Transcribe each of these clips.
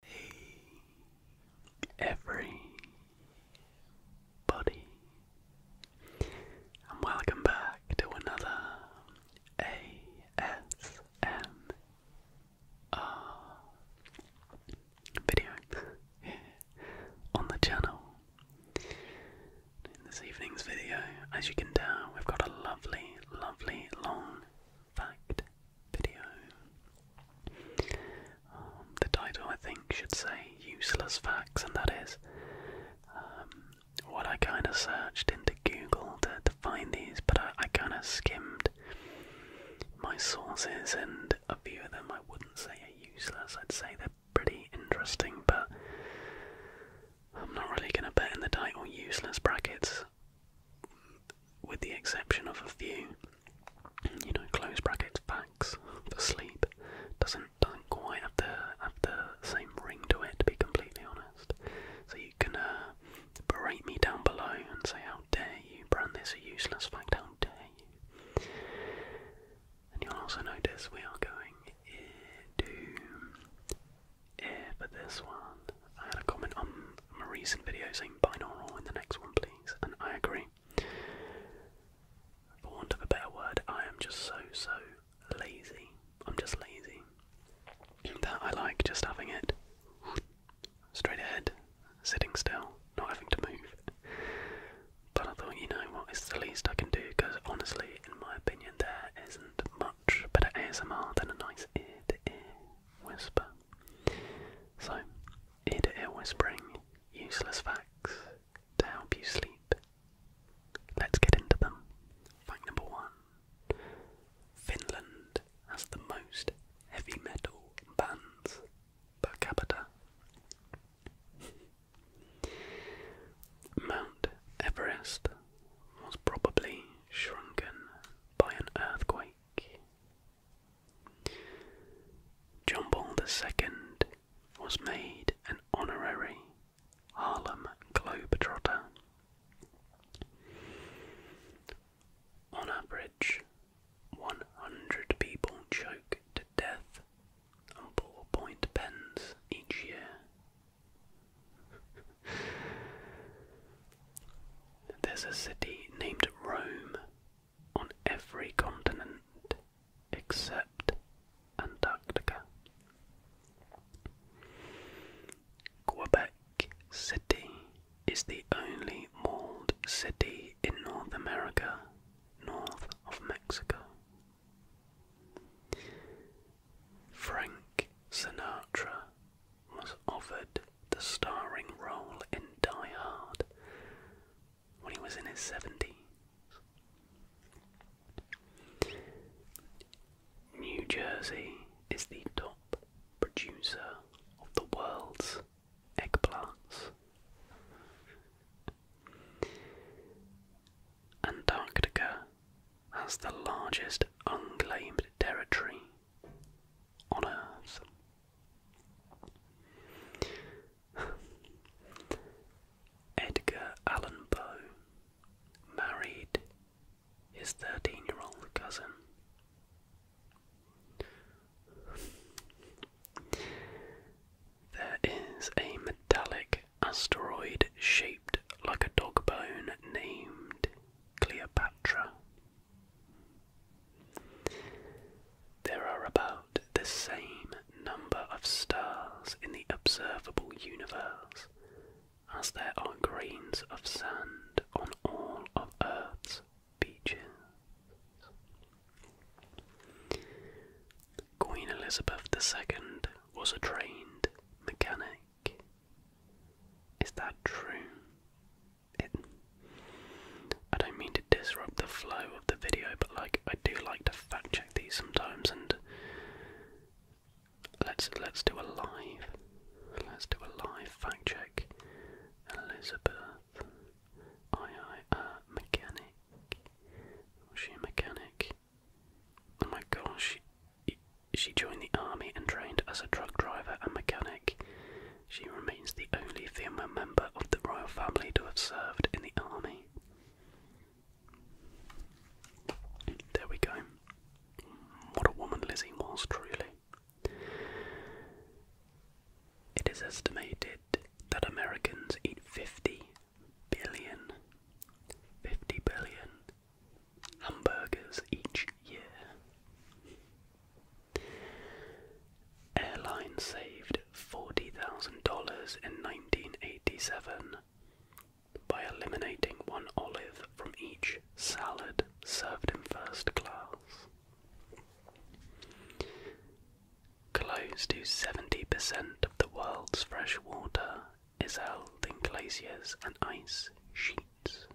Hey, everybody, and welcome back to another ASMR video on the channel. In this evening's video, as you can tell, we've got a lovely, lovely long fact video. Um, the title, I think, should say Useless Facts, and that is um, what I kind of searched into Google to, find these, but I, kind of skimmed my sources, and a few of them I wouldn't say are useless, I'd say they're pretty interesting, but I'm not really going to bet in the title useless brackets, with the exception of a few you know, close brackets Facts for sleep doesn't doesn't quite have the have the same ring to it to be completely honest. So you can uh, berate me down below and say how dare you brand this a useless fact, how dare you. And you'll also notice we are going to air for this one. I had a comment on my recent video saying binaural in the next one, please, and I agree. For want of a better word, I am just so, so lazy. I'm just lazy. That I like just having it straight ahead, sitting still, not having to move. But I thought, you know what, it's the least I can do because honestly, in my opinion, there isn't much better ASMR than a nice ear to ear whisper. So, ear to ear whispering, useless facts to help you sleep. Let's get into them. Fact number one Finland has the most heavy metal bands per capita. Mount Everest was probably shrunken by an earthquake Jumbo Paul II was made an honorary Harlem Globetrotter. On average, 100 people choke to death on ballpoint pens each year. There's a city named Rome on every continent except Antarctica. Quebec City is the only walled city in North America north of Mexico. Frank Sinatra was offered the starring role in Die Hard when he was in his 70s. New Jersey is the top producer of the world's eggplants. Antarctica has the largest unclaimed territory on Earth. Edgar Allan Poe married his 13 year old cousin. There is a metallic asteroid shaped like a dog bone named Cleopatra there are about the same number of stars in the observable universe as there are grains of sand on all of Earth's beaches. Queen Elizabeth II was a trained mechanic. Is that true? I don't mean to disrupt the flow of the video, but like I do like to fact check these sometimes and let's let's do a live let's do a live fact check. Elizabeth I I uh mechanic was she a mechanic? Oh my gosh she she joined the army and trained as a truck driver and mechanic. She remains the only female member of the royal family to have served in the army. There we go. What a woman Lizzie was, truly. It is estimated that Americans eat 50 billion, hamburgers each year. Airline saved $40,000 in 1987 by eliminating one olive from each salad served in first class. Close to 70% of the world's fresh water is held in glaciers and ice sheets.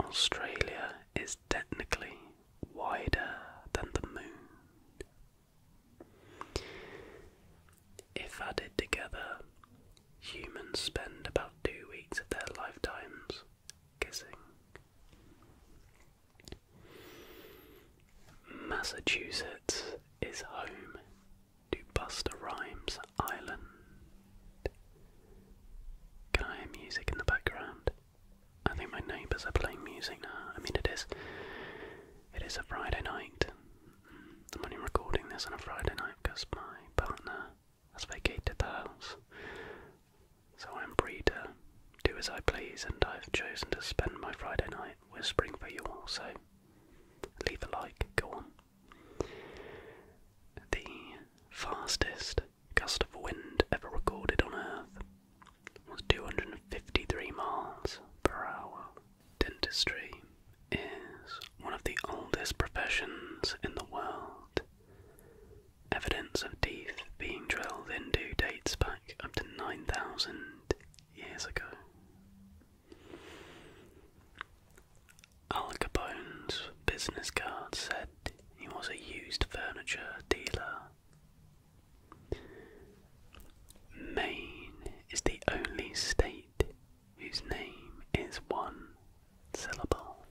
Australia is technically wider than the moon. If added together, humans spend about two weeks of their lifetimes kissing. Massachusetts is home to Buster Rhymes Island. Can I hear music in the background? I think my neighbours are playing music now. I mean, it is. It is a Friday night. I'm only recording this on a Friday night because my partner has vacated the house. So I'm free to do as I please, and I've chosen to spend my Friday night whispering for you all, so leave a like, go on. The fastest gust of wind ever recorded on Earth was 253 miles per hour. Dentistry is one of the oldest professions in the world. Evidence of teeth being drilled into dates back up to 9,000 years ago. Al Capone's business card said he was a used furniture dealer. Maine is the only state whose name is one syllable.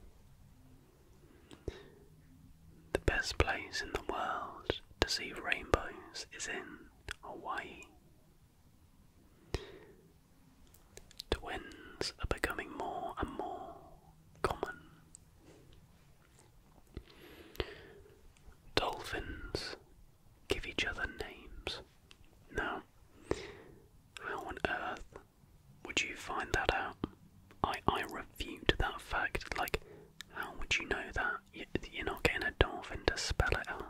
The best place in the world to see rainbows is in Hawaii. Twins are becoming more and more common. Dolphins give each other names. Now, how on earth would you find that out? I, I refute that fact. Like, how would you know that? You're not getting a dolphin to spell it out.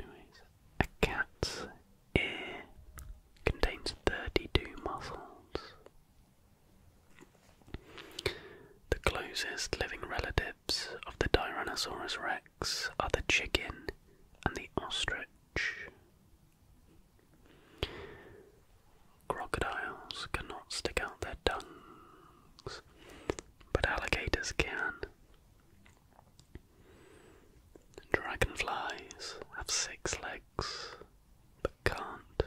Anyways, a cat's ear contains 32 muscles. The closest living relatives of the Tyrannosaurus rex are the chicken and the ostrich. Crocodiles cannot stick out their tongues, but alligators can. Dragonflies have six legs but can't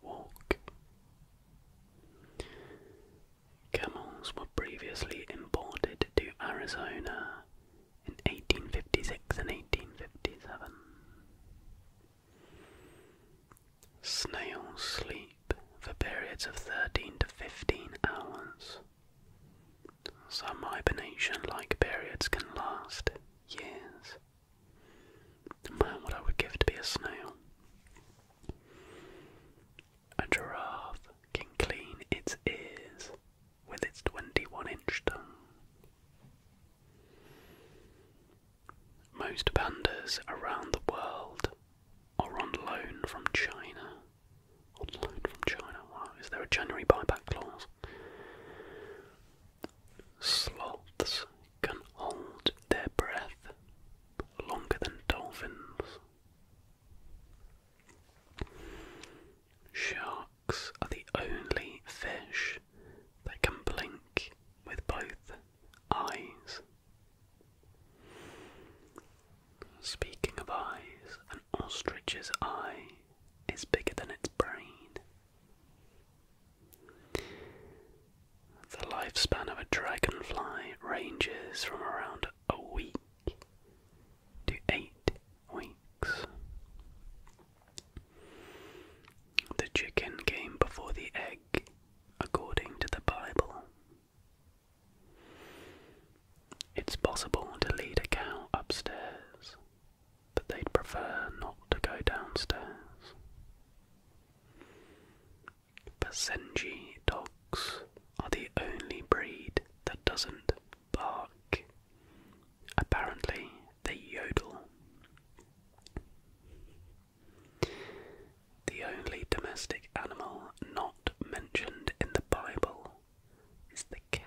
walk. Camels were previously imported to Arizona in 1856 and 1857. Snails sleep for periods of 13 to 15 hours. Some hibernation like periods can last years. Man, what I would give to be a snail. A giraffe can clean its ears with its 21 inch tongue. Most pandas around the world are on loan from China. On loan from China? is there a January buyback clause? Sloths can hold their breath longer than dolphins. Sharks are the only fish that can blink with both eyes. Speaking of eyes, an ostrich's eye is bigger than its brain. The lifespan of a dragonfly ranges from around a week to eight weeks. The chicken came before the egg, according to the Bible. It's possible to lead a cow upstairs but they'd prefer not to go downstairs. Basenji dogs are the only breed that doesn't bark. Apparently, they yodel. The only domestic animal not mentioned in the Bible is the cat.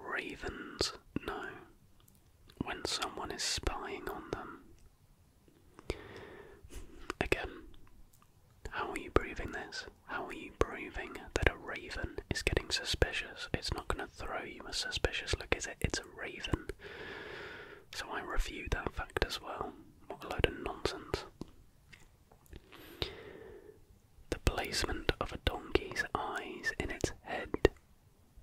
Ravens know when someone is spying on them. Again, how are you proving this? How are you proving that a raven is getting suspicious? It's not going to throw you a suspicious look, is it? It's a raven. So I review that fact as well. What a load of nonsense. The placement of a donkey's eyes in its head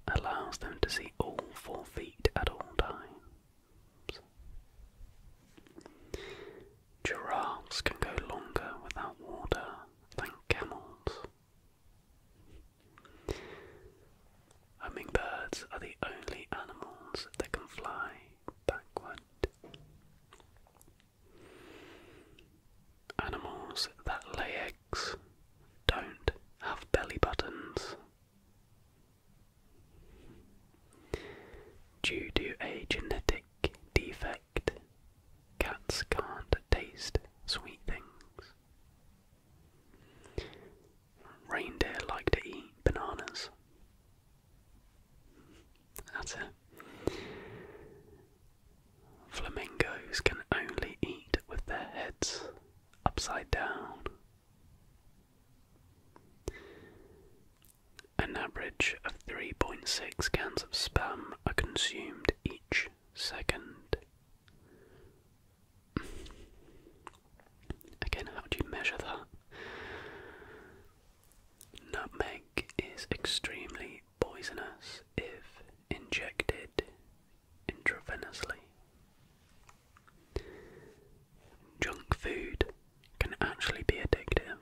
allows them to see all four feet at all times. Giraffes can go longer without water than camels. Hummingbirds are the only animals that can fly backward. Animals that lay eggs don't have belly buttons. Due to a genetic defect, cats can't taste sweet things. Reindeer like to eat bananas. Flamingos can only eat with their heads upside down. An average of 3.6 cans of spam are consumed each second. Again, how do you measure that? Nutmeg is extremely poisonous if injected intravenously. Junk food can actually be addictive.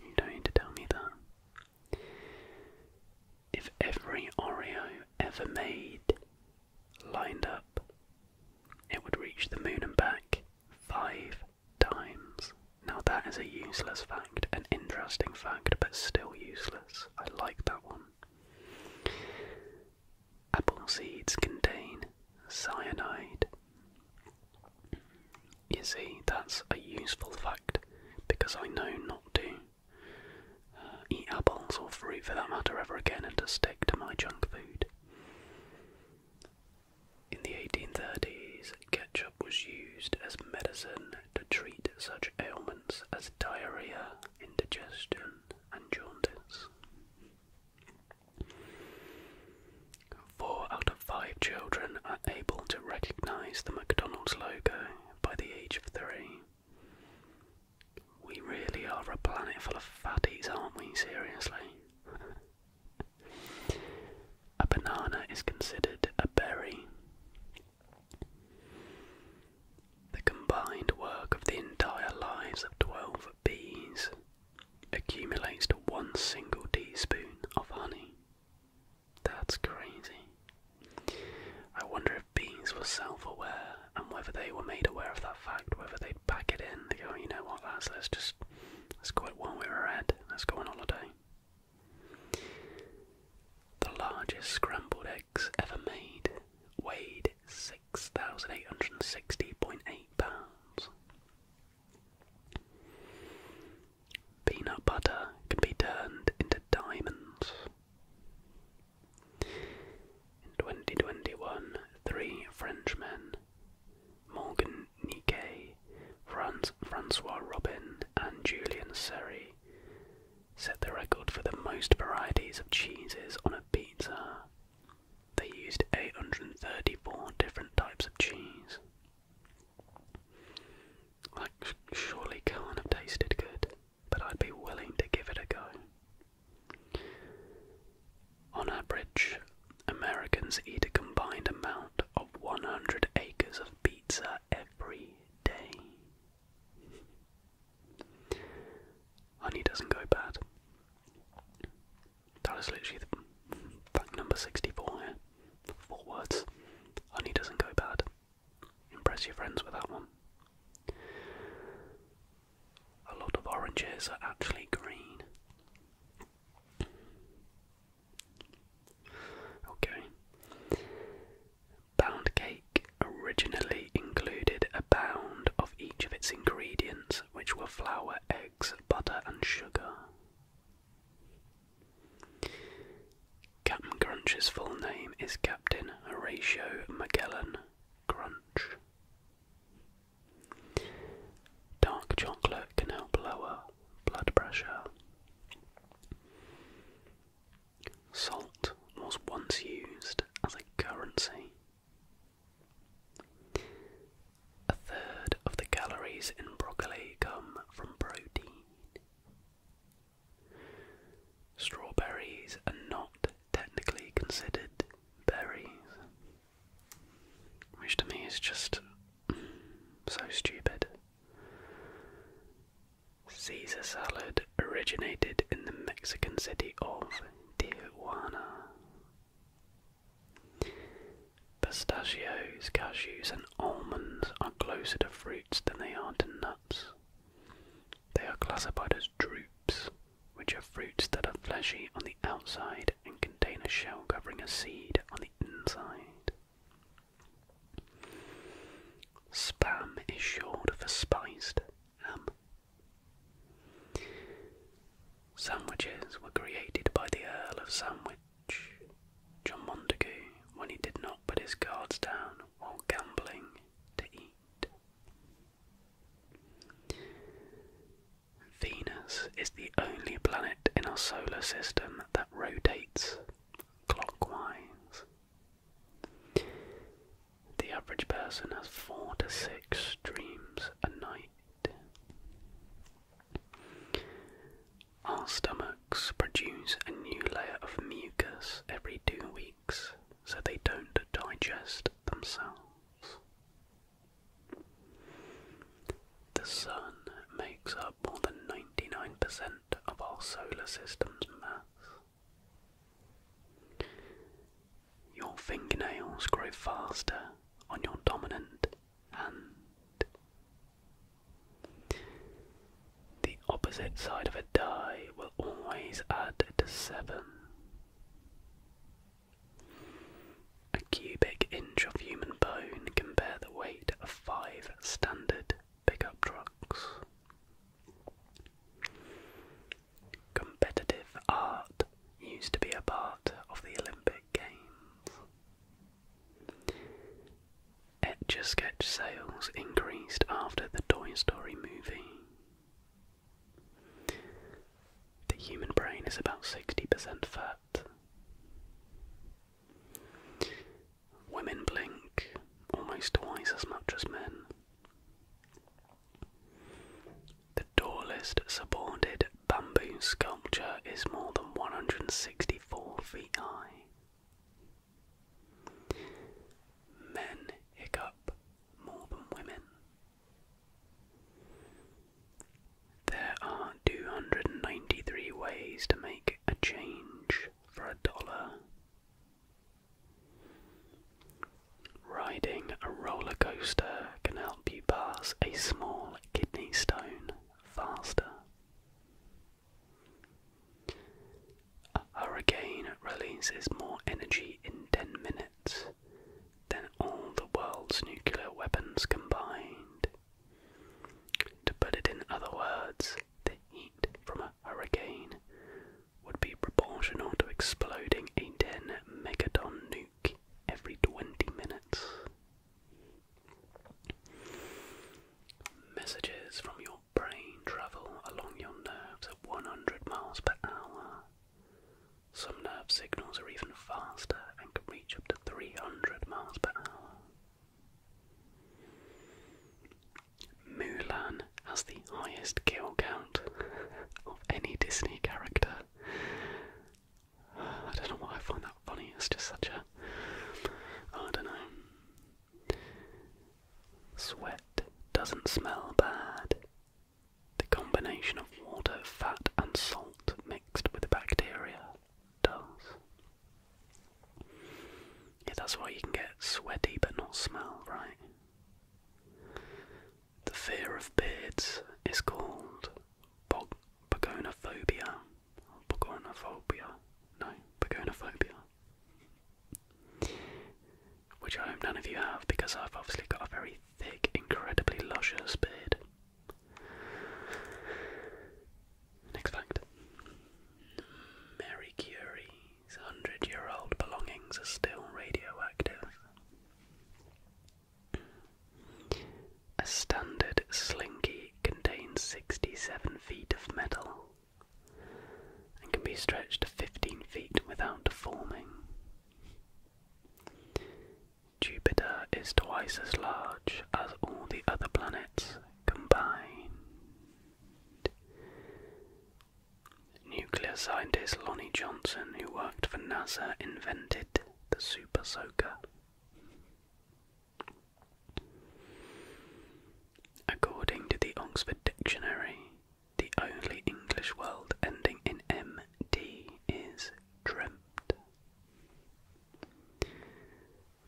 You don't need to tell me that. If every Oreo ever made lined up, it would reach the moon and back five dimes. Now that is a useless fact, an interesting fact, but still useless. I like that one. Apple seeds contain cyanide. You see, that's a useful fact because I know not to uh, eat apples or fruit for that matter ever again and to stick to my junk food. In the 1830s, ketchup was used as medicine to treat such ailments as diarrhea, indigestion, and jaundice. Four out of five children are able to recognize the McDonald's logo by the age of three. We really are a planet full of fatties, aren't we? Seriously? A banana is considered a berry. The combined work of the entire lives of 12 bees accumulates to one single teaspoon of honey. That's crazy. I wonder if bees were self aware and whether they were made aware of that fact, whether they'd pack it in. They go, oh, you know what, lads, let's just, let's go it one way we're at, let's go on holiday. The largest scrambled eggs ever made weighed 6,860.8 pounds. Peanut butter can be turned into diamonds. In 2021, three Frenchmen, Morgan Niquet, Francois Robin, and Julian Seri set the record for the most varieties of cheeses on a pizza. They used 834 different types of cheese. That surely can't have tasted good, but I'd be willing to give it a go. On average, Americans eat a combined amount of 100 acres of pizza every day. Honey doesn't go bad. That is literally the fact number 64 here. Four words. Honey doesn't go bad. Impress your friends with that one. A lot of oranges are actually green. Okay. Pound cake originally included a pound of each of its ingredients, which were flour, eggs, butter, and sugar. Captain Crunch's full name is Captain Horatio Magellan Crunch. Dark chocolate can help lower blood pressure. Salt was once used as a currency. A third of the calories in broccoli come from protein. Strawberries are not technically considered berries, which to me is just so stupid. Caesar salad originated in the Mexican city of Tijuana. Pistachios, cashews, and almonds are closer to fruits than they are to nuts. They are classified as drupes, which are fruits that are fleshy on the outside and contain a shell covering a seed on the inside. Spam is short for spiced ham. Sandwiches were created by the Earl of Sandwich, John Montagu, when he did not put his guards down while gambling to eat. Venus is the only planet in our solar system that rotates clockwise. The average person has four to six dreams a night. Our stomachs produce a new layer of mucus every two weeks so they don't digest themselves. The sun makes up more than 99% of our solar system's mass. Your fingernails grow faster on your dominant hand. The opposite side of a die will always add to 7. A cubic inch of human bone can bear the weight of five standard pickup trucks. Competitive art used to be a part of the Olympic Games. Etch a sketch sales increased after the Toy Story movie. The human brain is about 60% fat. Women blink almost twice as much as men. The tallest supported bamboo sculpture is more than 164 feet high. Men hiccup more than women. There are 293 ways to make a change for a dollar. Riding a roller coaster can help you pass a small kidney stone faster. A hurricane releases more energy in 10 minutes than all the world's nuclear weapons combined. To put it in other words, the heat from a hurricane would be proportional to exploding a 10 megaton nuke every 20 minutes. Messages from your brain travel along your nerves at 100 miles per hour. Some nerve signals are even faster and can reach up to 300 miles per hour. Mulan has the highest kill count of any Disney character. I don't know why I find that funny, it's just such a. I don't know. Sweat doesn't smell bad. The combination of water, fat, and salt mixed with bacteria does. Yeah, that's why you can get sweaty but not smell, right? The fear of beards is called bog pogonophobia. No, pogonophobia. Which I hope none of you have because I've obviously got a very thick, incredibly luscious beard. Next fact Mary Curie's hundred year old belongings are still radioactive. A standard slinky contains 67 feet of metal and can be stretched to 15 feet without deforming. Jupiter is twice as large as all the other planets combined. Nuclear scientist Lonnie Johnson, who worked for NASA, invented the Super Soaker. According to the Oxford Dictionary, the only English word ending in "md" is dreamt.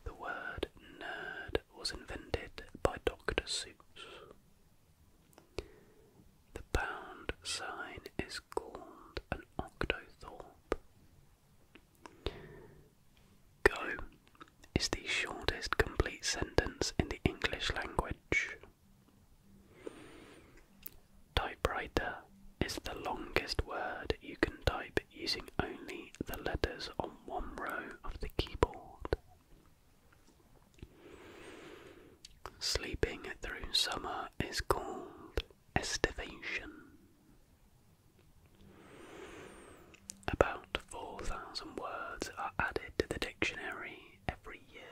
The word nerd was invented by Dr. Seuss. The pound sign is called an octothorpe. Go is the shortest complete sentence in the English language. Typewriter is the longest word you can type using only the letters on one row of the keyboard. Sleeping through summer is called estivation. About 4,000 words are added to the dictionary every year.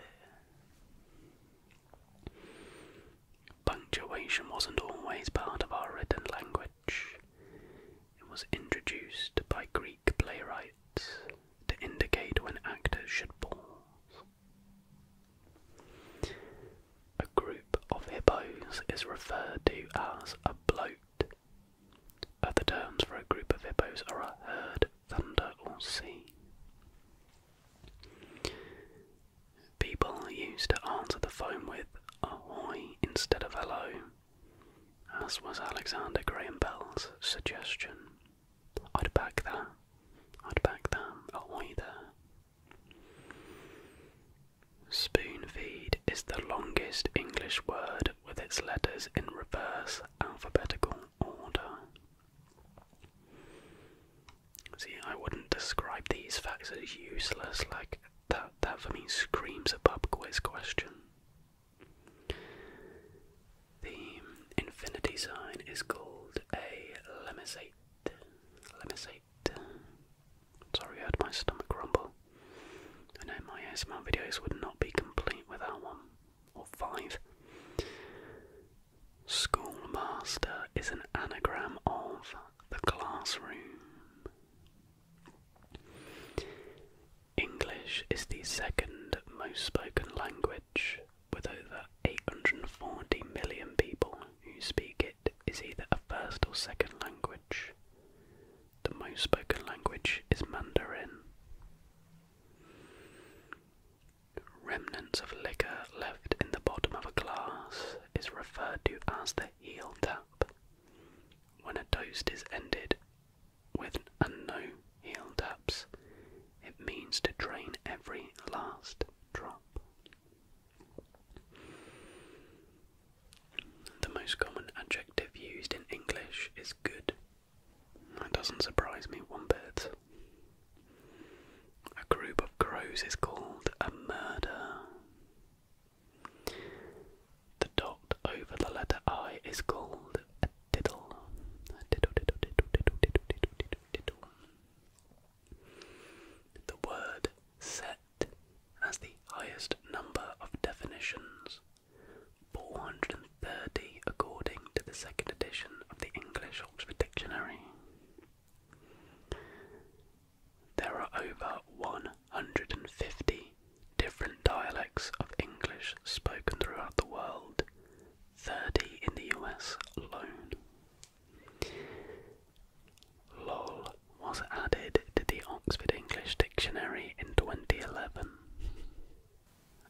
Punctuation wasn't always part of our written language. It was introduced by Greek playwrights to indicate when actors should pause. A group of hippos is referred to as a bloat. Other terms for a group of hippos are a herd, thunder, or sea. People used to answer the phone with ahoy instead of hello as was Alexander Graham Bell's suggestion. I'd back that. I'd back that. Oh, either. Spoon feed is the longest English word with its letters in reverse alphabetical order. See, I wouldn't describe these facts as useless, like that that for me screams a pub quiz question. The infinity sign is called a lemniscate. Lemniscate. Sorry, I had my stomach rumble. I know my ASMR videos would not be complete without one or five. Schoolmaster is an anagram of the classroom. English is the second most spoken language, with over 840 million people who speak it as either a first or second language. The most spoken language is Mandarin. Remnants of liquor left in the bottom of a glass is referred to as the heel tap when a toast is ended with and no heel taps, it means to drain every last drop. The most common adjective used in English is good. That doesn't surprise me one bit. A group of crows is called a murder. The dot over the letter I is called a diddle. The word set has the highest number of definitions, 430 according to the second edition of the English Oxford Dictionary. There are over 150 different dialects of English spoken throughout the world, 30 in the US alone. LOL was added to the Oxford English Dictionary in 2011.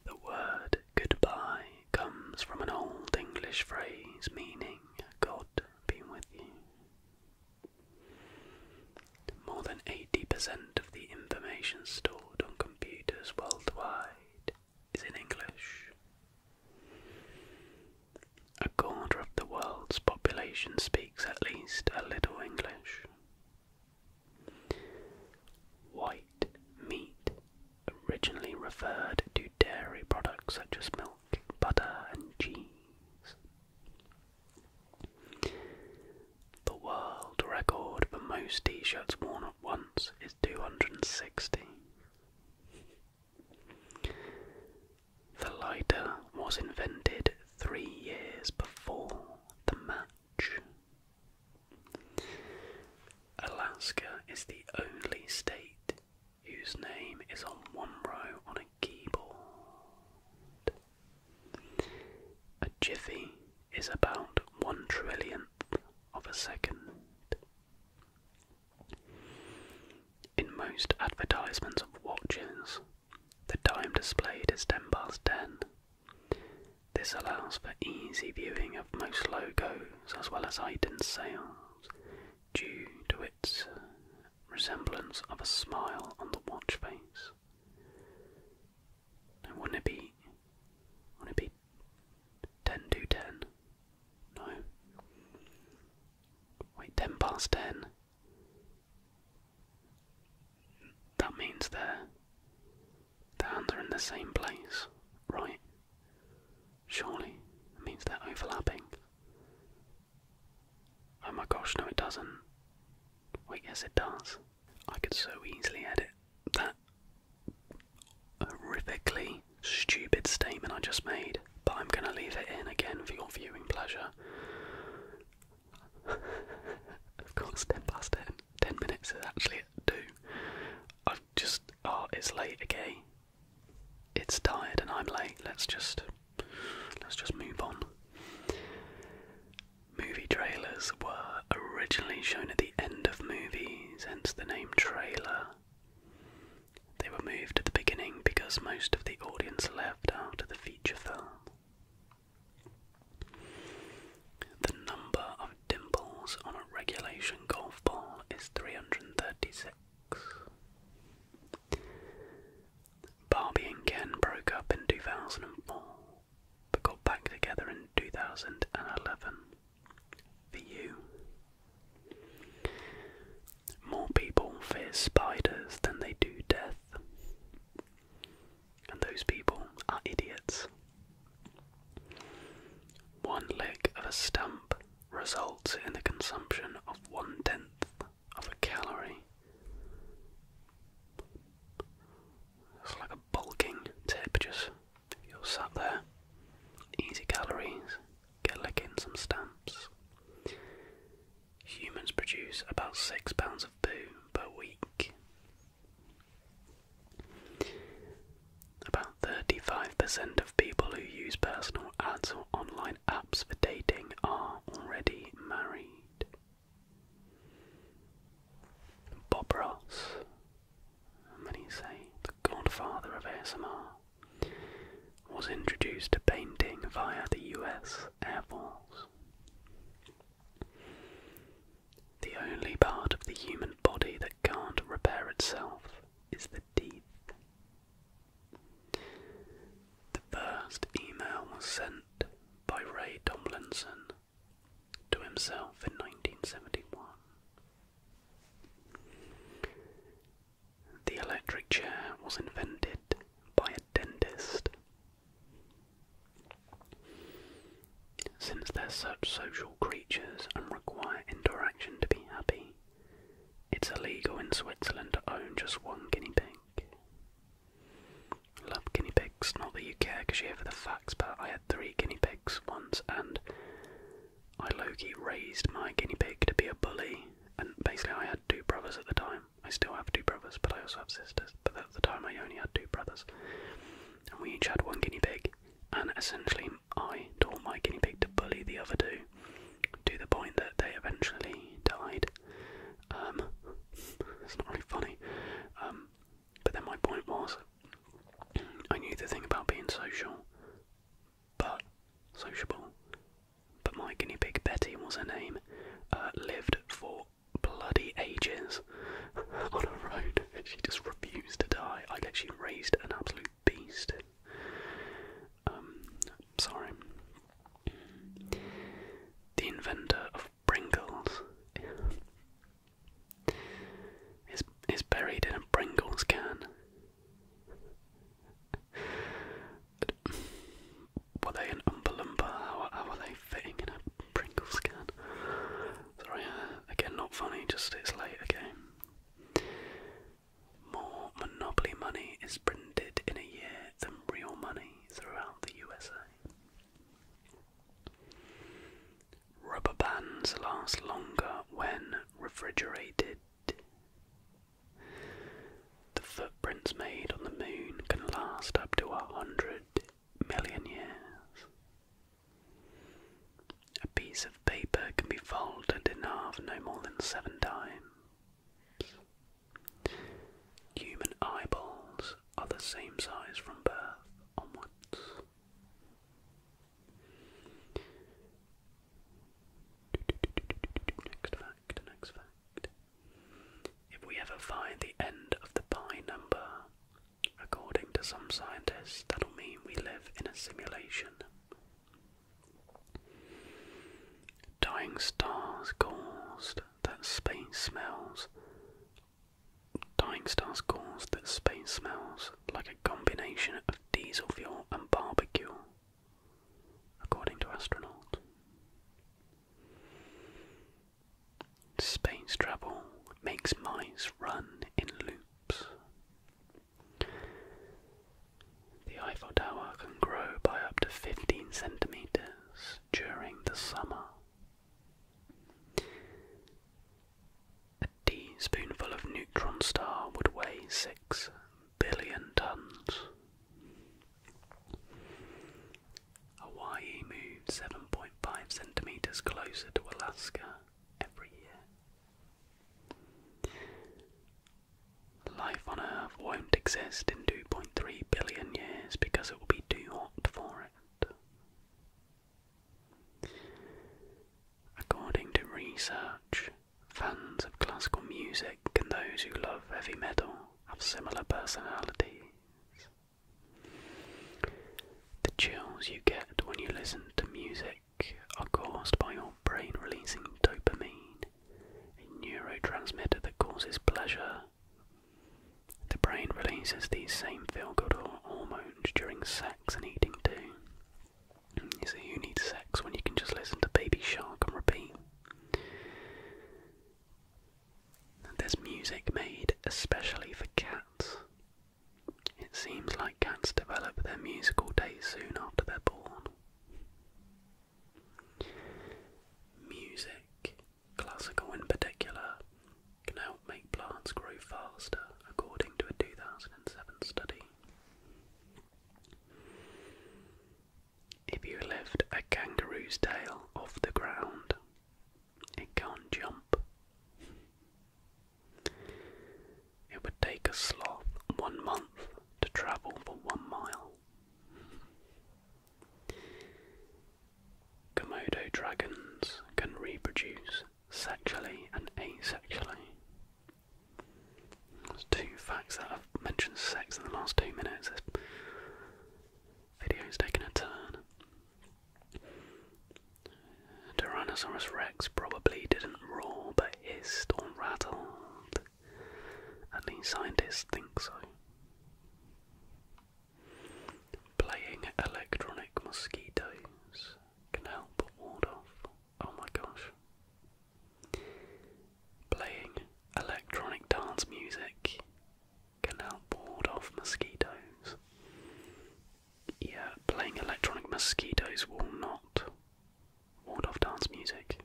The word goodbye comes from an old English phrase meaning God be with you. More than 80% of the information stored on computers worldwide is in English. A quarter of the world's population speaks at least a little English. White meat originally referred to dairy products such as milk, butter, and cheese. The world record for most t shirts worn at once is 260. The lighter was invented three years before the match. Alaska is the only state whose name is on one row on a keyboard. A jiffy is about one trillionth of a second. In most advertisements of watches, the time displayed is 10 past 10. This allows for easy viewing of most logos as well as item sales due to its resemblance of a smile on the watch face wouldn't it be wouldn't it be ten to ten? No. Wait, ten past ten. That means their the hands are in the same place, right? Surely. It means they're overlapping. Oh my gosh, no, it doesn't. Wait, yes, it does. I could so easily edit that horrifically stupid statement I just made, but I'm gonna leave it in again for your viewing pleasure. of course, 10 past 10. 10 minutes is actually at 2. I've just. Oh, it's late again. It's tired and I'm late. Let's just Let's just move on. Movie trailers were originally shown at the end of movies, hence the name trailer. They were moved at the beginning because most of the audience left after the feature film. The number of dimples on a regulation golf ball is 336. Barbie and Ken broke up in 2004 but got back together in 2011. For More people fear spiders than they do death. And those people are idiots. One lick of a stamp results in the consumption of one tenth of a calorie. It's like a bulking tip, just you're sat there, easy calories, get licking some stamps. Humans produce about six pounds of poo per week. About 35% of people who use personal ads or online apps for dating are already married. Bob Ross, many say the godfather of ASMR, was introduced to painting via the US Air Force. The only part of the human body that can't repair itself is the teeth. The first email was sent by Ray Tomlinson to himself in 1971. The electric chair was invented by a dentist. Since they're such social creatures and require interaction to be happy, it's illegal in Switzerland to own just one guinea pig. Love guinea pigs. Not that you care because you're here for the facts, but I had three guinea pigs once and I Loki raised my guinea pig to be a bully. And basically, I had two brothers at the time. I still have two brothers, but I also have sisters. But at the time, I only had two brothers. And we each had one guinea pig. And essentially, I taught my guinea pig to bully the other two to the point that they eventually died. Um, it's not really funny. Um, but then my point was, I knew the thing about being social, but sociable. But my guinea pig Betty was her name, uh, lived for bloody ages on a road. She just refused to die. I literally raised an absolute beast. Um, sorry. The inventor of Pringles is is buried in a Pringles can. Were they an umbalumba? How, how are they fitting in a Pringles can? Sorry, uh, again, not funny. Just it's late. Okay. More monopoly money is printed in a year than real money throughout the USA. Rubber bands last longer when refrigerated. The footprints made on the moon can last up to a hundred million years. A piece of paper can be folded in half no more than seven times. Human eyeballs are the same size from birth onwards. Next fact, next fact. If we ever find the end of the pi number, according to some scientists, that'll mean we live in a simulation. Dying stars cause that space smells. Dying stars caused that space smells like a combination of diesel fuel and barbecue, according to astronauts. Space travel makes mice run in loops. The Eiffel Tower can grow by up to 15 centimeters during the summer. A teaspoonful of neutron star would weigh 6 billion tons. Hawaii moved 7.5 centimetres closer to Alaska every year. Life on Earth won't exist in 2.3 billion years because it will be too hot for it. According to research, fans of classical music and those who love heavy metal have similar personalities. The chills you get when you listen to music are caused by your brain releasing dopamine, a neurotransmitter that causes pleasure the brain releases these same feel good hormones during sex and eating too. You see, you need sex when you can just listen to Baby Shark and repeat. There's music made especially for cats. It seems like cats develop their musical taste soon after they're born. Music Classical in particular can help make plants grow faster, according to a 2007 study. If you lift a kangaroo's tail off the ground, it can't jump. It would take a sloth one month to travel for one mile. Komodo dragons can reproduce sexually and asexually. There's two facts that I've mentioned sex in the last two minutes. This video's taken a turn. Tyrannosaurus rex probably didn't roar but hissed or rattled. At least scientists think so. Playing electronic mosquitoes can help ward off. Oh my gosh. Playing electronic dance music can help ward off mosquitoes. Yeah, playing electronic mosquitoes will not ward off dance music.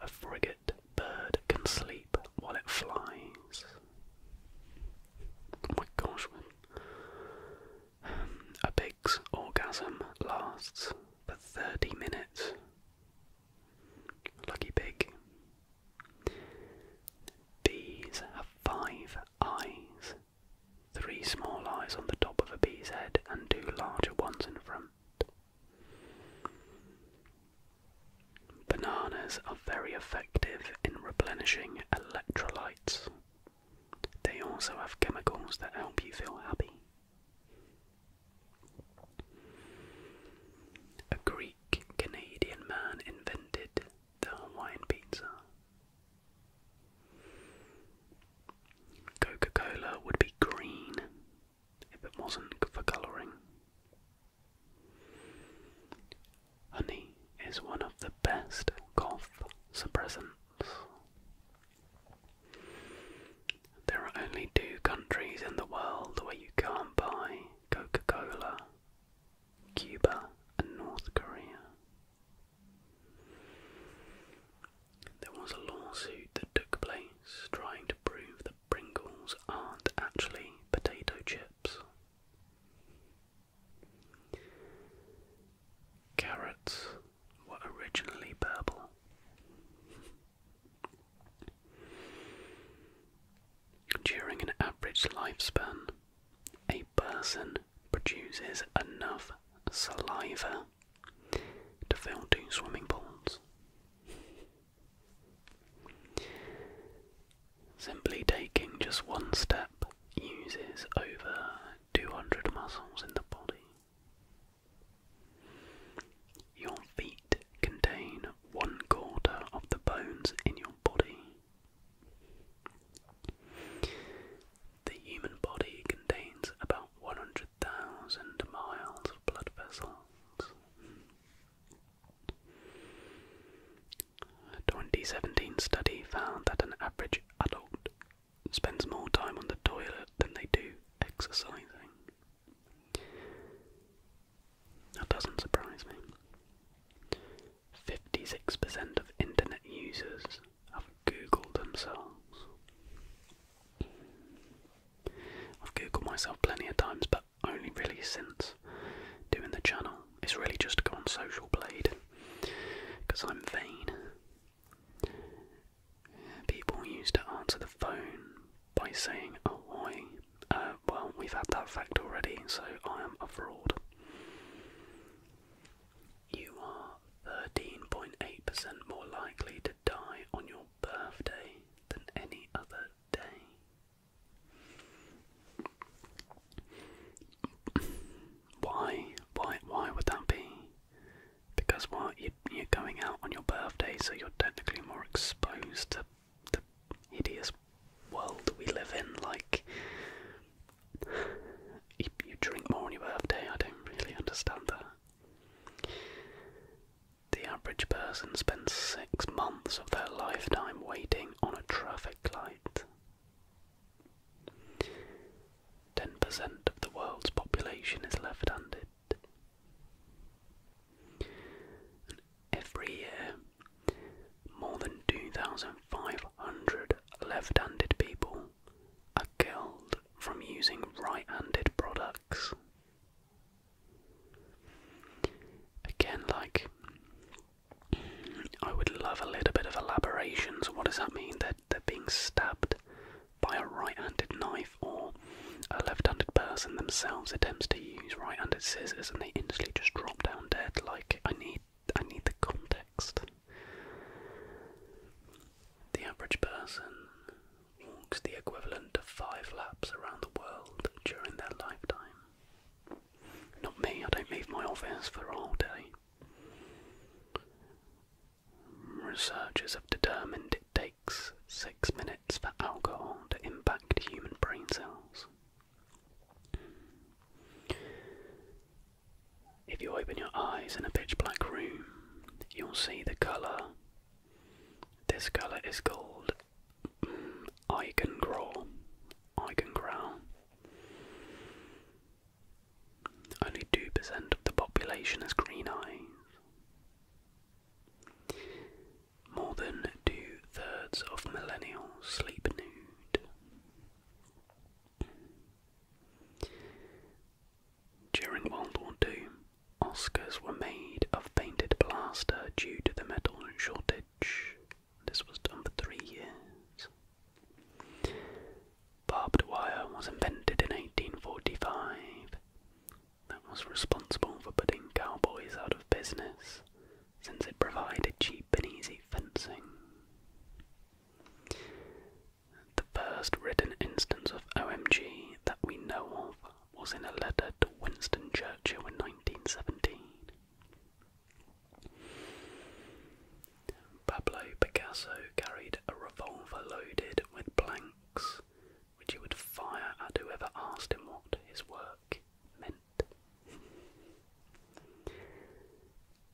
A frigate bird can sleep while it flies. Oh my gosh. Um, a pig's orgasm lasts for 30 minutes. Lucky pig. Bees have five eyes. Three small eyes on the top of a bee's head and two larger ones in front. Bananas are very effective in replenishing electrolytes. They also have chemicals that help you feel happy. A Greek Canadian man invented the Hawaiian pizza. Coca Cola would be green if it wasn't for colouring. Honey is one of the best cough suppressants. There are only two countries in the world where you can't buy Coca Cola Cuba and North Korea. There was a lawsuit that took place trying to prove the Pringles aren't actually potato chips. Carrots were originally purple. During an average lifespan, a person produces enough saliva to fill two swimming pools. Simply taking just one step uses over 200 muscles in the body. Your feet contain one quarter of the bones in your body. The human body contains about 100,000 miles of blood vessels. A 2017 study found that an average adult spends more time on the toilet than they do exercising. That doesn't surprise me. 56% of internet users have Googled themselves. I've Googled myself plenty of times, but only really since doing the channel. It's really just to go on social blade because I'm vain. People used to answer the phone by saying ahoy. Oh, uh, well, we've had that fact already, so I am a fraud. You are 13.8% more likely to die on your birthday than any other day. Why? Why? Why would that be? Because what you, are going out on your birthday, so you're technically more exposed to the hideous world we live in. Like you drink more on your birthday. I don't really understand that. The average person spends six months of their lifetime waiting on a traffic light. 10% of the world's population is left handed. every year, more than 2,500 left handed people are killed from using right handed products. Again, like, I would love a little bit of elaboration. So, what does that mean? That they're, being stabbed by a right handed knife, or a left handed person themselves attempts to use right handed scissors and they instantly just drop down dead. Like, I need. I need the context. The average person walks the equivalent of five laps around the world during their lifetime. Not me, I don't leave my office for a day. Researchers have determined it takes six minutes for alcohol to impact human brain cells. If you open your eyes in a pitch black room, you'll see the colour. This colour is gold. I can grow. I can growl. Only 2% of the population has green eyes. More than two thirds of millennials sleep nude. During World War II, Oscars were made of painted plaster due to the metal shortage. This was done for three years. Barbed wire was invented in 1845. That was responsible for putting cowboys out of business since it provided cheap and easy fencing. The first written instance of OMG that we know of was in a letter to Winston Churchill in 1917. Pablo Picasso carried a revolver loaded with blanks, which he would fire at whoever asked him what his work meant.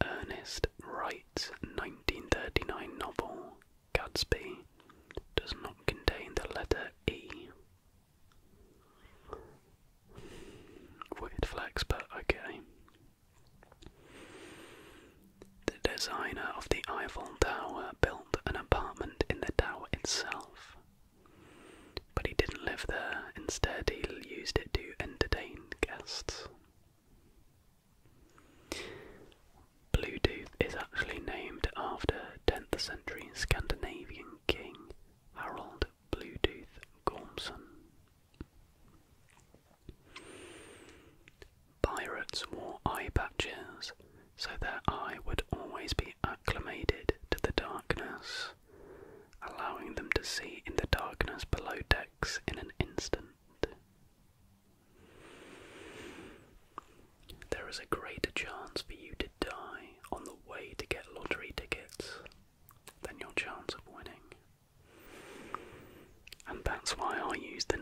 Ernest Wright's 1939 novel, Gadsby, does not contain the letter E Weird flex, but okay. The designer of the Eiffel Tower built an apartment in the tower itself, but he didn't live there, instead, he used it to entertain guests. Bluetooth is actually named after 10th century Scandinavian king Harold Bluetooth Gormson. Pirates wore eye patches, so their eye would always be acclimated to the darkness, allowing them to see in the darkness below decks in an instant. There is a greater chance for you to die on the way to get lottery tickets, then your chance of winning. And that's why I use the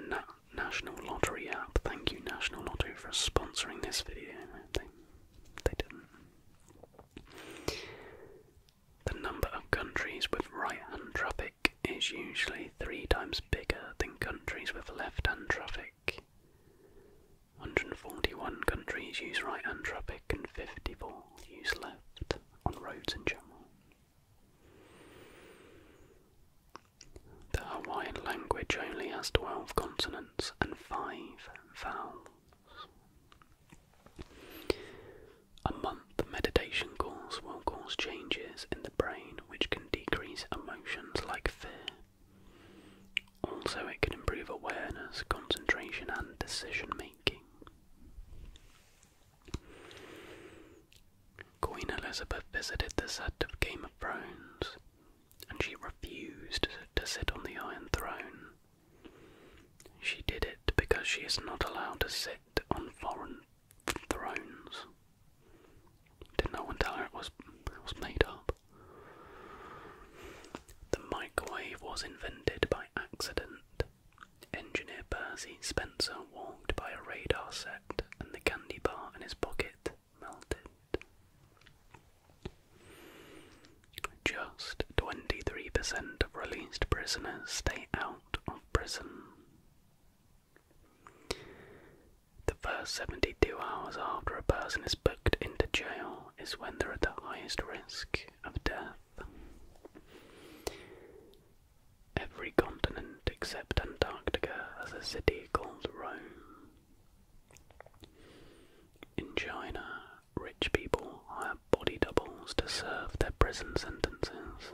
National Lottery app. Thank you, National Lotto, for sponsoring this video. they didn't. The number of countries with right hand traffic is usually three times bigger than countries with left hand traffic. 141 countries use right hand traffic, and 54 use left on roads in general. The Hawaiian language only has 12 consonants and 5 vowels. A month meditation course will cause changes in the brain which can decrease emotions like fear, also, it can improve awareness, concentration, and decision making. Queen Elizabeth visited the set of Game of Thrones, and she refused to sit on the Iron Throne. She did it because she is not allowed to sit on foreign thrones. Did no one tell her it was, was made up? The microwave was invented by accident. Engineer Percy Spencer walked by a radar set and the candy bar in his pocket melted. Just 23% of released prisoners stay out of prison. The first 72 hours after a person is booked into jail, is when they're at the highest risk of death. Every continent except Antarctica has a city called Rome. In China, rich people hire body doubles to serve their prison sentences.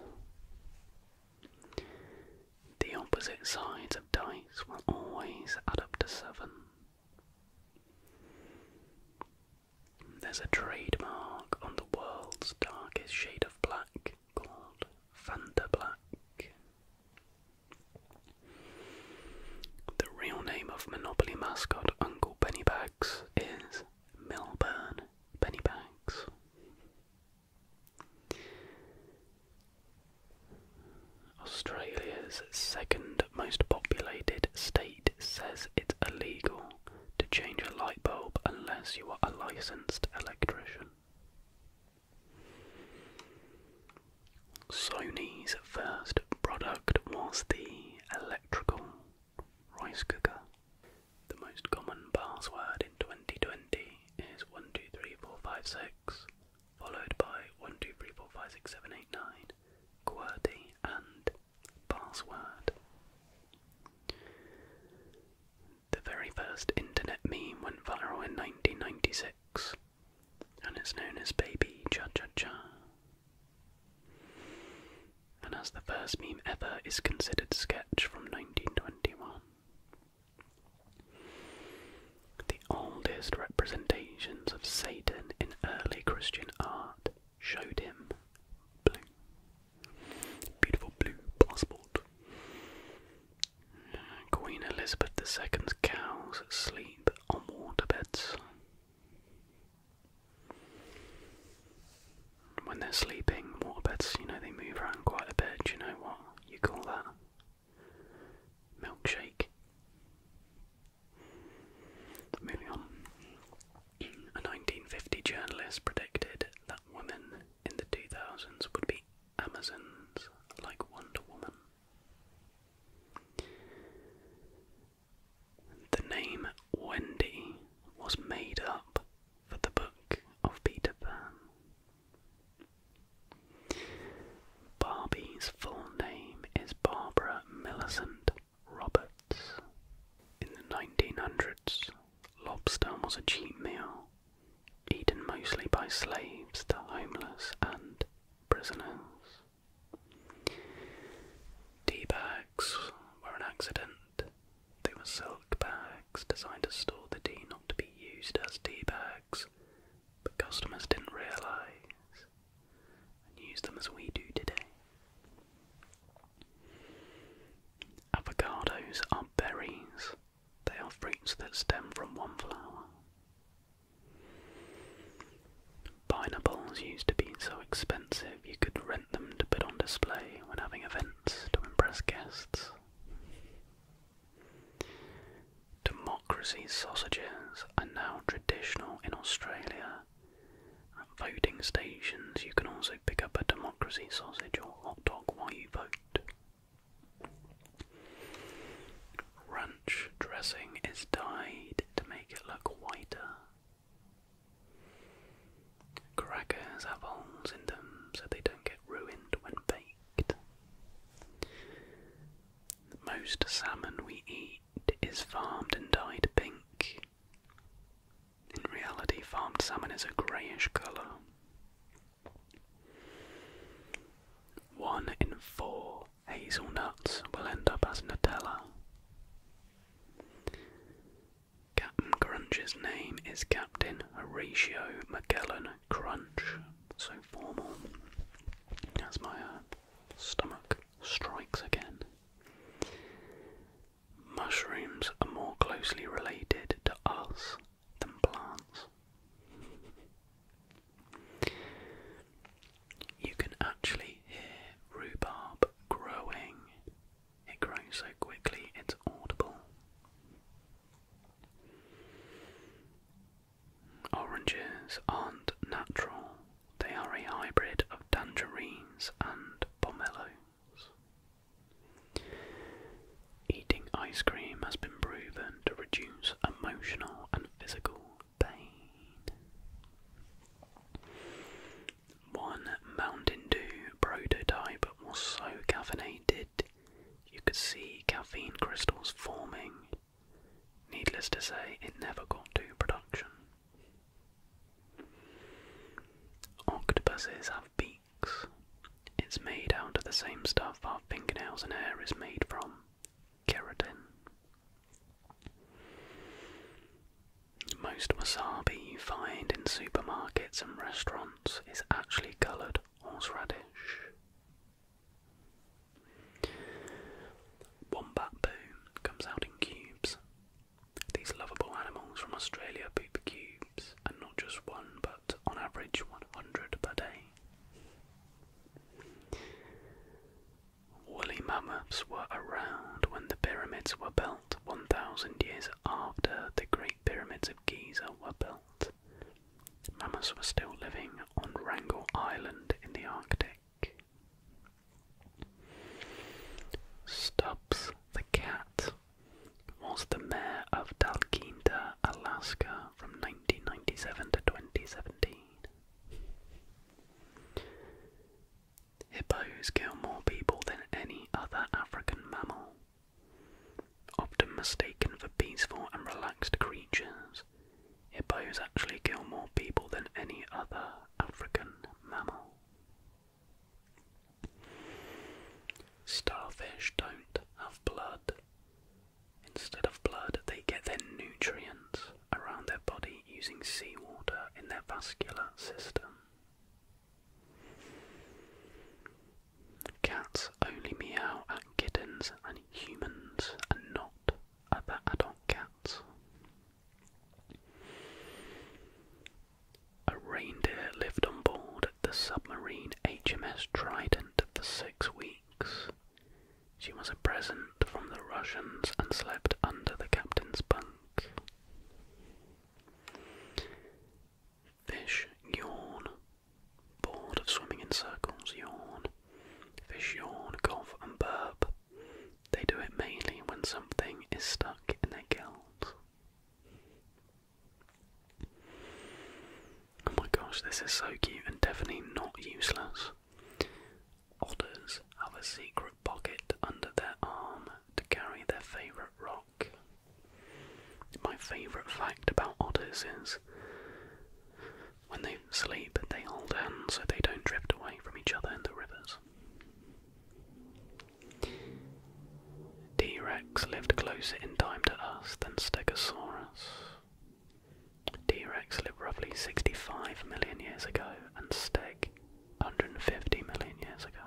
The opposite sides of dice will always add up to seven. There's a trademark on the world's darkest shade of black called Fanta Black. The real name of Monopoly mascot Uncle Pennybags is Milburn Pennybags. Australia's second most populated state says it's illegal to change a light bulb unless you are a licensed electrician. Sony's first product was the electrical rice cooker. The most common password in 2020 is 123456 followed by 1, 2, 3, 4, 5, 6, 7, 8, 9, QWERTY, and password. The very first internet meme went viral in 1996 and it's known as Baby Cha Cha Cha. And as the first meme ever is considered sketch from 1921. The oldest representation indications of Satan in early Christian art showed him blue. Beautiful blue passport. Queen Elizabeth II's cows sleep on water beds. When they're sleeping, water beds, you know, they move around quite a bit. Do you know what you call that? Milkshake. Moving on. A 1950 journalist predicted that women in the 2000s would be Amazons like Wonder Woman. The name Wendy was made up for the book of Peter Pan. Barbie's full name is Barbara Millicent Roberts. In the 1900s, lobster was a cheap meal, eaten mostly by slaves, the homeless, and prisoners. Tea bags were an accident. They were silk bags designed to store the tea, not to be used as tea bags, but customers didn't realize and use them as we do today. Avocados are berries, they are fruits that stem from one flower. Pineapples used to be so expensive you could rent them to put on display when having events to impress guests. Democracy sausages are now traditional in Australia at voting stations, you can also pick up a democracy sausage or hot dog while you vote. Ranch dressing is dyed to make it look whiter. Crackers have holes in them so they don't get ruined when baked. Most salmon we eat is farmed and dyed pink. In reality, farmed salmon is a greyish colour. One in four hazelnuts will end up as Nutella. Captain Crunch's name is Captain Horatio Magellan Crunch, so formal. That's my uh, Stomach strikes again. Mushrooms are more closely related to us than plants. You can actually hear rhubarb growing. It grows so quickly it's audible. Oranges aren't natural they are a hybrid of tangerines and pomelos. Eating ice cream has been proven to reduce emotional and physical pain. One Mountain Dew prototype was so caffeinated you could see caffeine crystals forming Needless to say, it never got to production. Octopuses have beaks. It's made out of the same stuff our fingernails and hair is made from keratin. Most wasabi you find in supermarkets and restaurants is actually coloured horseradish. Wombat Boom comes out in cubes. These lovable animals from Australia poop cubes, and not just one, but on average 100 per day. Woolly mammoths were around when the pyramids were built 1,000 years after the Great Pyramids of Giza were built. Mammoths were still living on Wrangel Island in the Arctic. Stubbs the Cat was the mayor of Dalkinda, Alaska from 1997 to 2017. Hippos kill more people than any other African mammal. Often mistaken for peaceful and relaxed creatures, Hippos actually kill more people than any other African mammal. Starfish don't have blood. Instead of blood, they get their nutrients around their body using seawater in their vascular system. Cats only meow at kittens and humans and not other adult cats. A reindeer lived on board the submarine HMS Trident for six weeks. She was a present from the Russians and slept under the captain's bunk. Fish yawn. Bored of swimming in circles, yawn. Fish yawn, cough, and burp. They do it mainly when something is stuck in their gills. Oh my gosh, this is so cute and definitely not useless. Otters have a secret pocket under their arm to carry their favourite rock. My favourite fact about otters is when they sleep, they hold hands so they don't drift away from each other in the rivers. T Rex lived closer in time to us than Stegosaurus. T Rex lived roughly 65 million years ago and Steg 150 million years ago.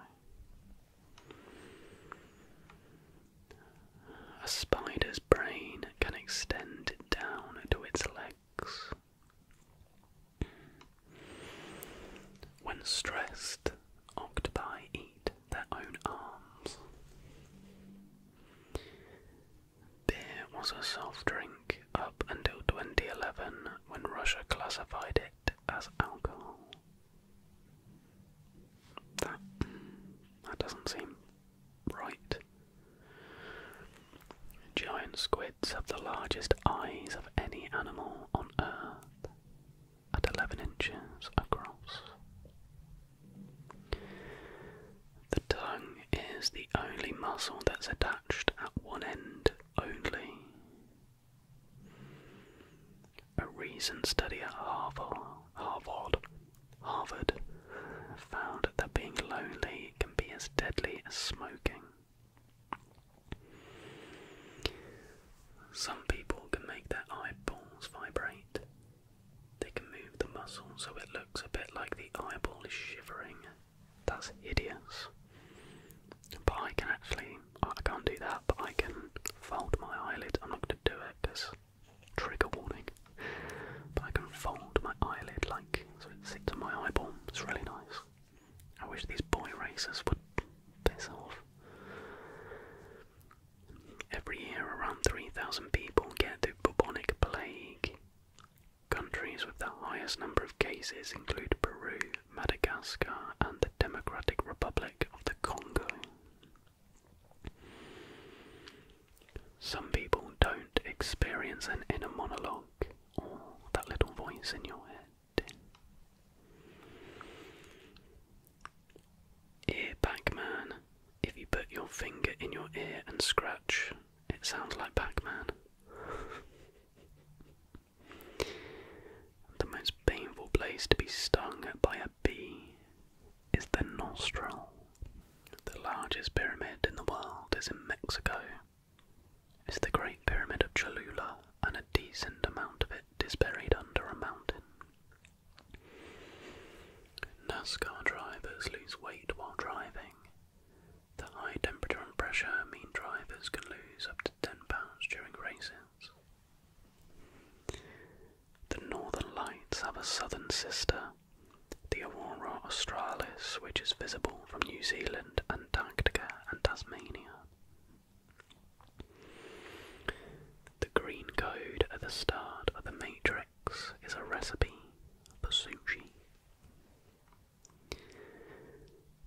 A spider's brain can extend down to its leg. When stressed, octopi eat their own arms. Beer was a soft drink up until 2011 when Russia classified it as alcohol. That, that doesn't seem right. Giant squids have the largest eyes of any animal on Earth, at 11 inches across. The tongue is the only muscle that's attached at one end only. A recent study at Harvard, Harvard, Harvard found that being lonely can be as deadly as smoking. Some people can make their eyeballs vibrate. They can move the muscle so it looks a bit like the eyeball is shivering. That's hideous. I can actually, I can't do that, but I can fold my eyelid. I'm not going to do it because trigger warning. But I can fold my eyelid like so it sits on my eyeball. It's really nice. I wish these boy racers would piss off. Every year, around 3,000 people get the bubonic plague. Countries with the highest number of cases include Peru, Madagascar, and the Democratic Republic of the Congo. Some people don't experience an inner monologue think, that little voice in your head. Ear Pac-Man. If you put your finger in your ear and scratch, it sounds like Pac-Man. the most painful place to be stung by a bee is the nostril. The largest pyramid in the world is in Mexico is the Great Pyramid of Cholula, and a decent amount of it is buried under a mountain. NASCAR drivers lose weight while driving. The high temperature and pressure mean drivers can lose up to 10 pounds during races. The northern lights have a southern sister, the Aurora Australis, which is visible from New Zealand Greenland, Antarctica, and Tasmania. The green code at the start of the matrix is a recipe for sushi.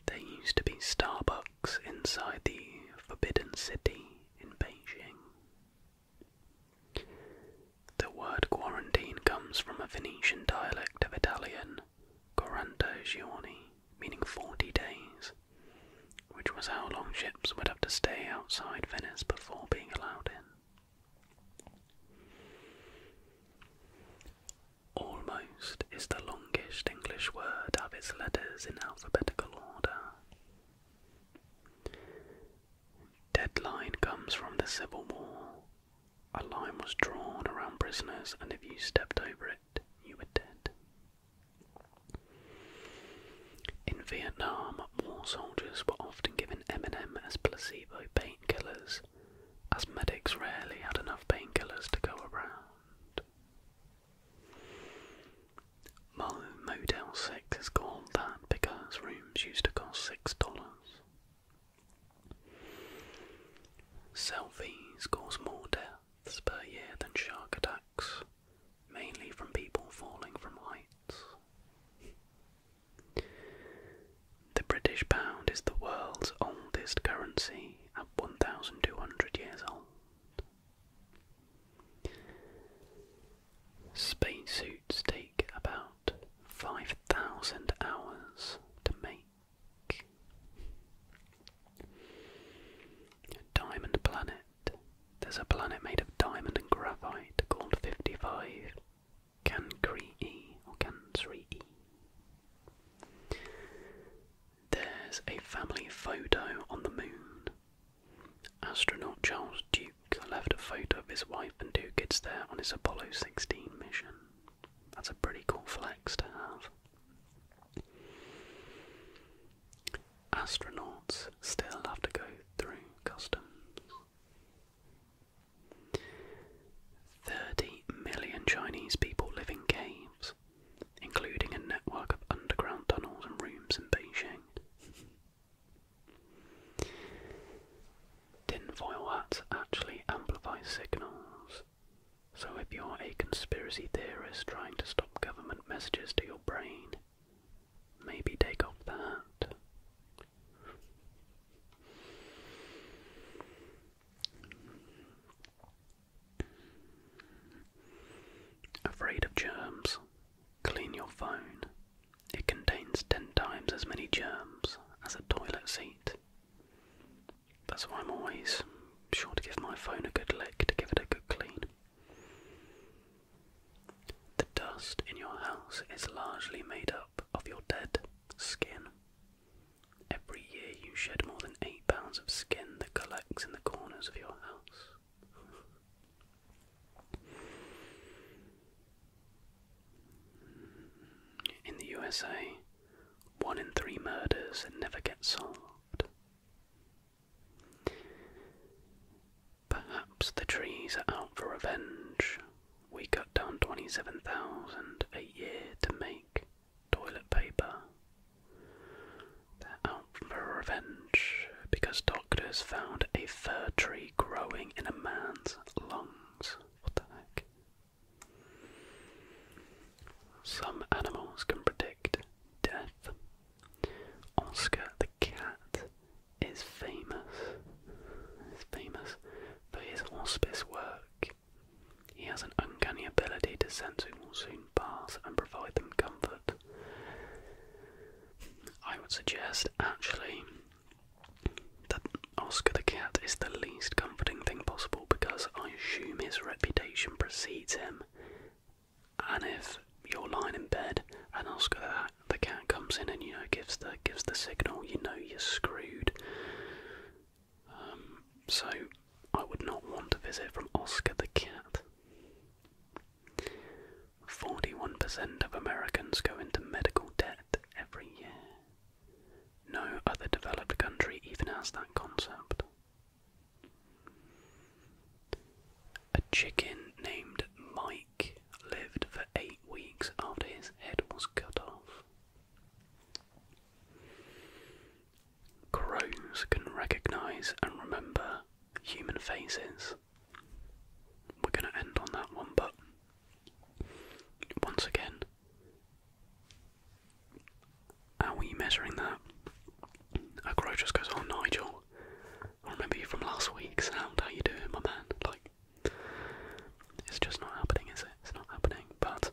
There used to be Starbucks inside the Forbidden City in Beijing. The word quarantine comes from a Venetian dialect of Italian Quaranta giorni, meaning 40 days, which was how long ships would have to stay outside Venice before being allowed in. Almost is the longest English word to its letters in alphabetical order. Deadline comes from the Civil War, a line was drawn around prisoners, and if you stepped over it, you were dead. In Vietnam, war soldiers were often given M&M as placebo painkillers, as medics rarely had enough painkillers to go around. Motel 6 is called that because rooms used to cost $6. Selfies cause more deaths per year than shark attacks, mainly from people falling from heights. The British pound is the world's oldest currency at 1,200 years old. suits take about 5,000 hours to make. Diamond Planet. There's a planet made of diamond and graphite called 55 Cancri or Cancri There's a family photo on the moon. Astronaut Charles Duke left a photo of his wife and two kids there on his Apollo 16 mission. That's a pretty cool flex to have. Astronauts still have to go through customs. 30 million Chinese people live in caves, including a network of underground tunnels and rooms in Beijing. Tinfoil hats actually amplify signals. So if you're a conspiracy theorist trying to stop government messages to your brain, maybe take off the Afraid of germs? Clean your phone. It contains ten times as many germs as a toilet seat that's why I'm always sure to give my phone a good lick to give it a good clean. The dust in your house is largely made up of your dead skin. Every year you shed more than 8 pounds of skin that collects in the corners of your house. In the USA, one in three murders and never gets solved. Perhaps the trees are out for revenge. We cut down 27,000 a year to make toilet paper. They're out for revenge because doctors found a fir tree growing in a man's lungs. What the heck? Some animals can predict death. Oscar the cat is famous. Is famous for his hospice work. He has an uncanny ability to sense who will soon pass and provide them comfort. I would suggest, actually, that Oscar the Cat is the least comforting thing possible because I assume his reputation precedes him. And if you're lying in bed and Oscar the, cat comes in and you know gives the gives the signal, you know you're screwed. Um, so I would not want a visit from Oscar the cat. 41% of Americans go into medical debt every year. No other developed country even has that concept. A chicken named Mike lived for eight weeks after his head was cut off. Crows can recognize and remember human faces. We're going to end on that one, but once again, how are you measuring that? A crow just goes, oh Nigel, I remember you from last week's sound, how you doing my man? Like, it's just not happening is it? It's not happening, but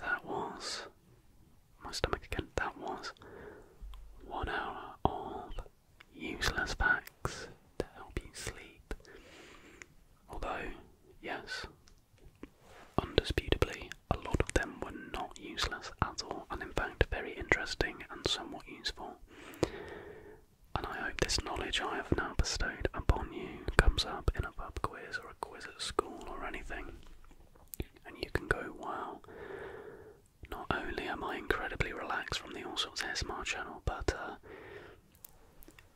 that was, my stomach again, that was one hour of useless facts to help you sleep. Although, yes, Undisputably, a lot of them were not useless at all, and in fact, very interesting and somewhat useful. And I hope this knowledge I have now bestowed upon you comes up in a pub quiz or a quiz at school or anything, and you can go, wow, not only am I incredibly relaxed from the All Sorts of ASMR channel, but uh,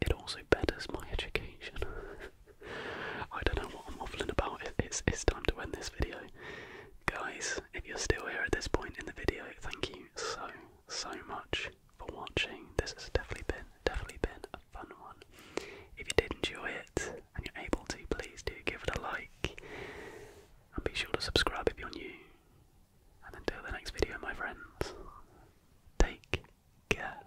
it also betters my education. I don't know what I'm waffling about. It, it's it's time to end this video, guys. If you're still here at this point in the video, thank you so so much for watching. This has definitely been definitely been a fun one. If you did enjoy it and you're able to, please do give it a like and be sure to subscribe if you're new. And until the next video, my friends, take care.